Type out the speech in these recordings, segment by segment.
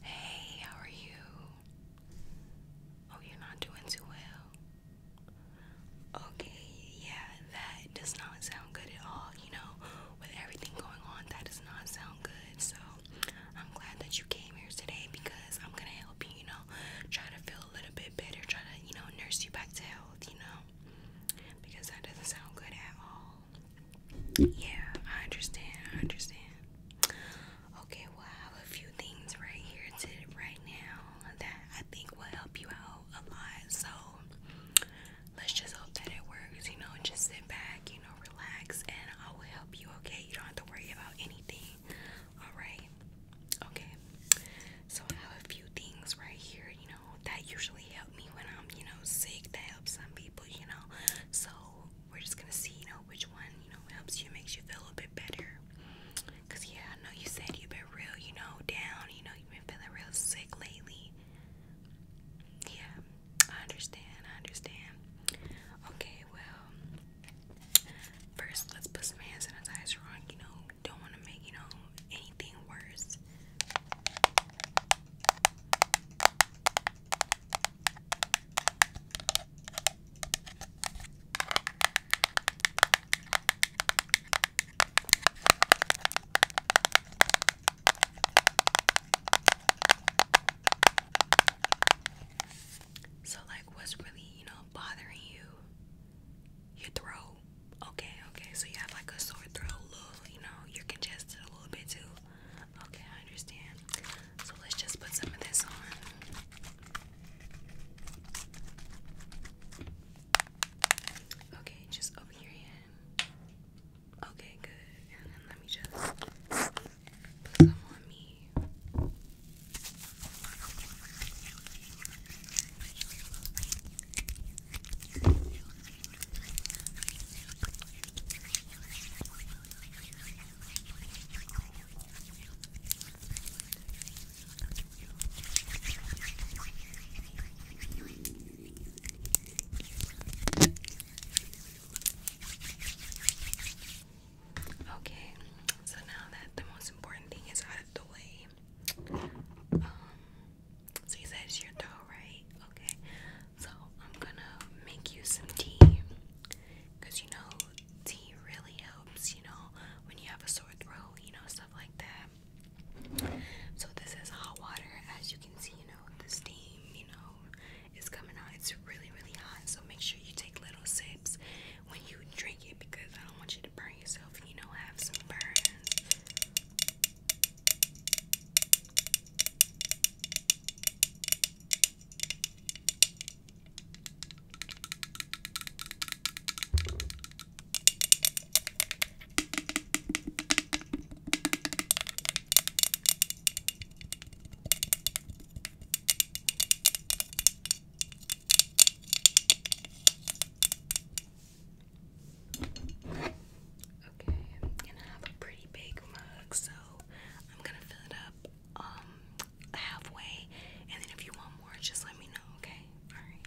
Hey, how are you? Oh, you're not doing too well. Okay, yeah, that does not sound good at all. You know, with everything going on, that does not sound good. So, I'm glad that you came here today because I'm gonna help you, you know, try to feel a little bit better, try to, you know, nurse you back to health, you know, because that doesn't sound good at all yeah, I understand. I understand. Okay, well, I have a few things right here to right now that I think will help you out a lot. So let's just hope that it works. You know, just sit back, you know, relax, and I will help you. Okay, you don't have to worry about anything. All right. Okay. So I have a few things right here. You know, that usually help me when I'm, you know, sick. to help some people. You know, so we're just gonna see, you know, which one, you know, helps you, makes you feel a bit better. Cause yeah, I know you said you've been real, you know, down, you know, you've been feeling real sick lately. Yeah, I understand, I understand. Okay, well, first let's put some hand sanitizer on, you know, don't wanna make, you know, anything worse. So, like, what's really, you know, bothering you? Your throat. Okay, okay. So, you have like a sore throat, a little, you know, you're congested a little bit too. Okay, I understand. So let's just put some of this on. Okay, just over your hand. Okay, good. And then let me just put some on me. Okay, so now that the most important thing is out of the way, um, so you said it's your toe, right? Okay, so I'm gonna make you some tea you know tea really helps, you know, when you have a sore throat, you know, stuff like that. So this is hot water, as you can see, you know, the steam, you know, is coming out. It's really, really hot. So make sure you take little sips when you drink it because I don't want you to burn yourself you know have some burns. Okay, and I have a pretty big mug, so I'm gonna fill it up um, halfway and then if you want more just let me know, okay? Alright.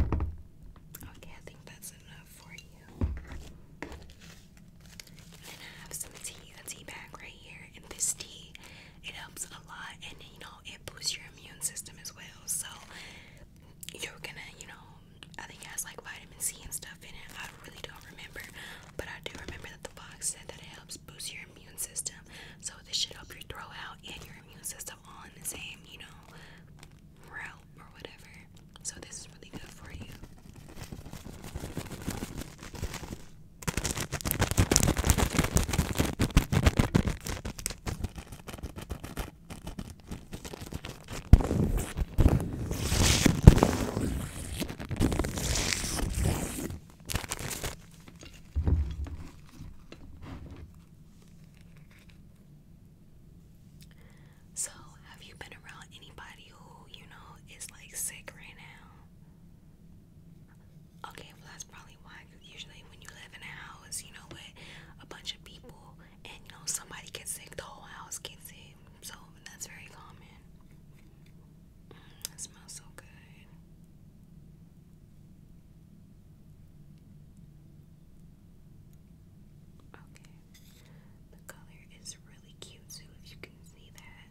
Okay, I think that's enough for you. And I have some tea, a tea bag right here. And this tea, it helps a lot and you know, it boosts your immune system as well. So you're gonna, you know, I think it has like vitamin C and stuff in it. I really don't remember, but I do remember that the box said that it helps boost your immune system. So so this should help your throat out and your immune system all in the same, you know, route or whatever. So this is really good for you. So, have you been around anybody who, you know, is like sick right now? Okay, well, that's probably why. Usually, when you live in a house, you know, with a bunch of people and, you know, somebody gets sick, the whole house gets sick. So, that's very common. Mm, it smells so good. Okay. The color is really cute too if you can see that.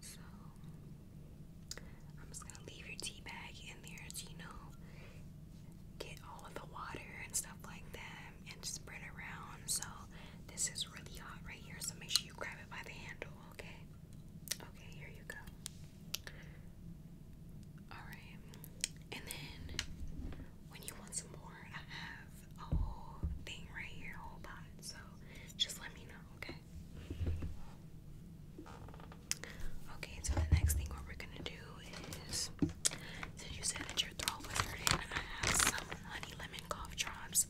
So I'm just gonna leave your tea bag in there you know get all of the water and stuff like that and spread around. So this is really hot right here, so make sure you grab it by the handle okay. Okay, here you go. Alright. And then when you want some more, I have a whole thing right here, whole pot. So just let me know, okay? Okay, so the next thing what we're gonna do is since you said that your throat was hurting, I have some honey lemon cough drops.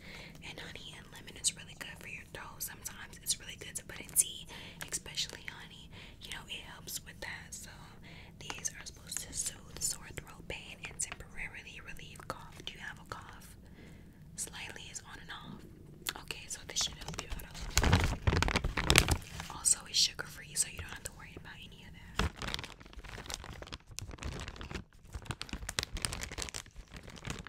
And honey and lemon is really good for your Sometimes it's really good to put in tea, especially honey. You know, it helps with that. So these are supposed to soothe sore throat pain and temporarily relieve cough. Do you have a cough? Slightly is on and off. Okay, so this should help you out. Also, it's sugar free, so you don't have to worry about any of that.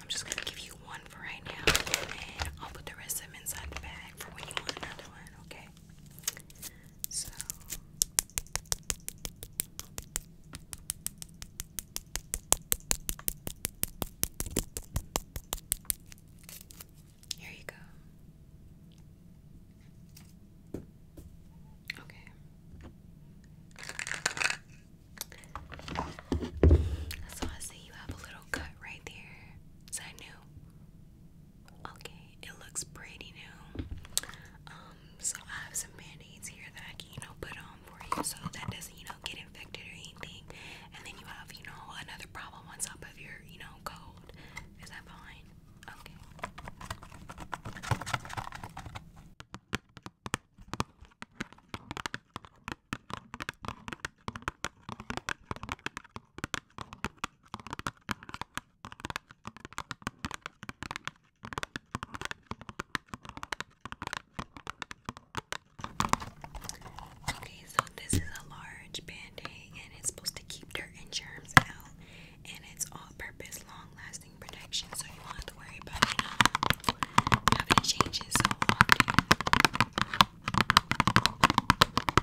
I'm just gonna give you one for right now, and I'll put the rest of them inside the bag for when you want another one, okay? So here you go. Okay. So I see you have a little cut right there. Is that new? Okay, it looks pretty new. Um, so I have some band-aids here that I can, you know, put on for you so that doesn't, you know, get infected or anything. And then you have, you know, another problem on top of your, you know, cold. Is that fine? Okay. Okay, so this is a large band and it's supposed to keep dirt and germs out, and it's all purpose, long lasting protection, so you won't have to worry about having changes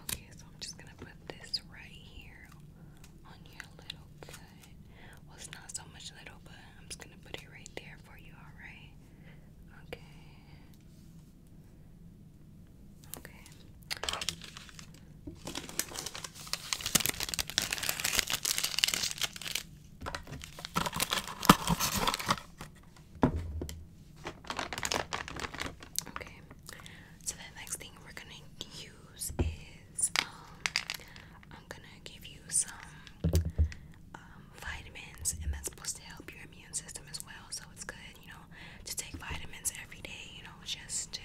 Okay, so I'm just gonna put this right here on your little cut. Well, it's not so much little, but I'm just gonna put it right there for you, alright? Okay. Okay. Okay, so the next thing we're gonna use is um, I'm gonna give you some um, vitamins, and that's supposed to help your immune system as well. So it's good, you know, to take vitamins every day, you know, just to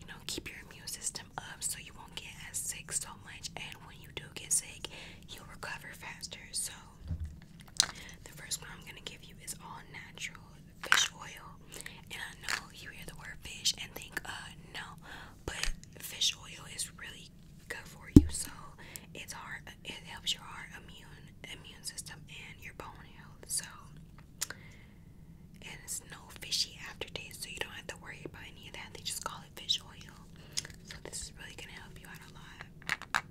you know keep your immune system up so you won't get as sick so much and when you do get sick, you recover faster. So, the first one I'm gonna give you is all natural fish oil. And I know you hear the word fish and think, uh, no, but fish oil is really good for you. So, it's hard, it helps your heart, immune, immune system, and your bone health. So, it's no fishy aftertaste, so you don't have to worry about any of that. They just call it. Olive oil. So this is really gonna help you out a lot.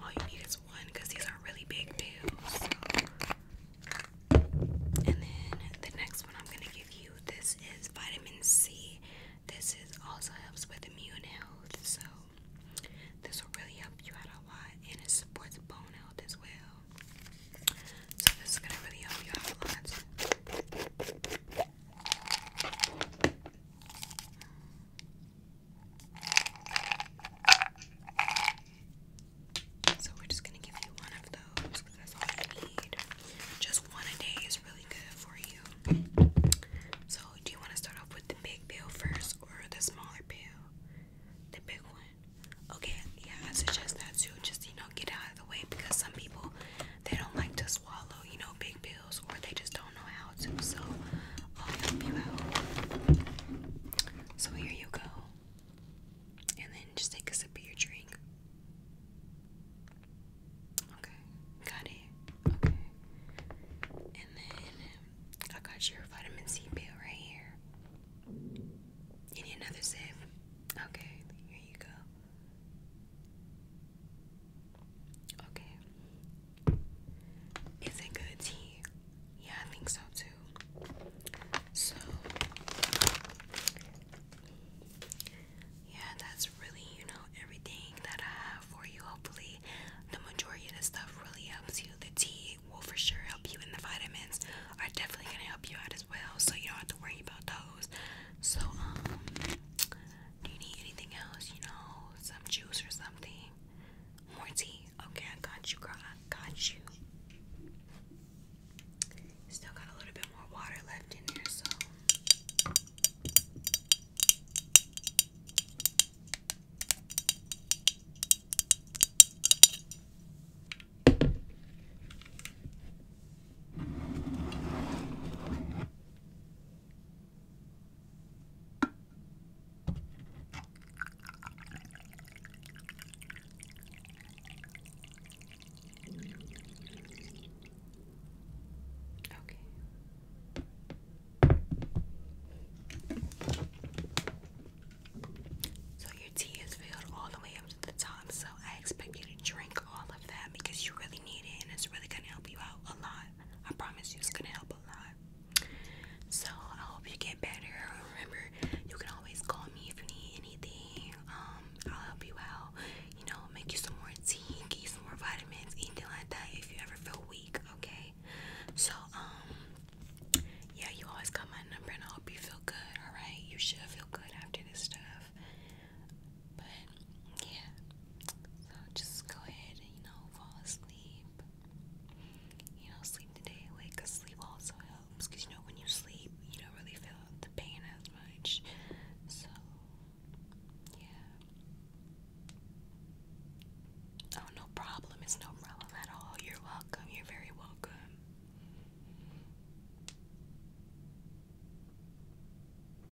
All you need is one these are really big pills. And then the next one I'm going to give you this is vitamin C. This is also helps with immune health. So this will really help you out a lot and it supports bone health as well. So this is gonna really help you out a lot. So we're just gonna give you one of those because that's all you need. Just one a day is really good for you. So do you want to start off with the big pill first or the smaller pill? The big one. Okay, yeah, I suggest that too. Just you know, get out of the way because some people they don't like to swallow, you know, big pills, or they just don't know how to. So I'll help you out. So here you go. And then just take a sip of your drink. Okay, got Okay. And then I got your vitamin C pill right here. You need another sip? Okay, here you go. Okay. Is it good tea? Yeah, I think so too. So, yeah, that's really, you know, everything that I have for you. Hopefully, the majority of the stuff really helps you. The tea will for sure help you, and the vitamins are definitely gonna help you out as well. So, you don't have to worry about those. So, um, do you need anything else? You know, some juice or something? More tea? Okay, I got you, girl. I got you. Still got a little bit more water left in there, so. Okay. So your tea is filled all the way up to the top. So I expect you to drink all of that because you really need it and it's really gonna help you out a lot. I promise you it's gonna help a lot. So I hope you get better. Remember, you can always call me if you need anything. Um, I'll help you out. You know, make you some more tea, get you some more vitamins, anything like that if you ever feel weak, okay? So, um, yeah, you always got my number and I hope you feel good, alright? You should feel good after this stuff. But yeah, so just go ahead and you know fall asleep. You know, sleep today, wake. Cause sleep also helps. Cause you know when you sleep, you don't really feel the pain as much. So yeah. Oh no problem. It's no problem at all. You're welcome. You're very welcome.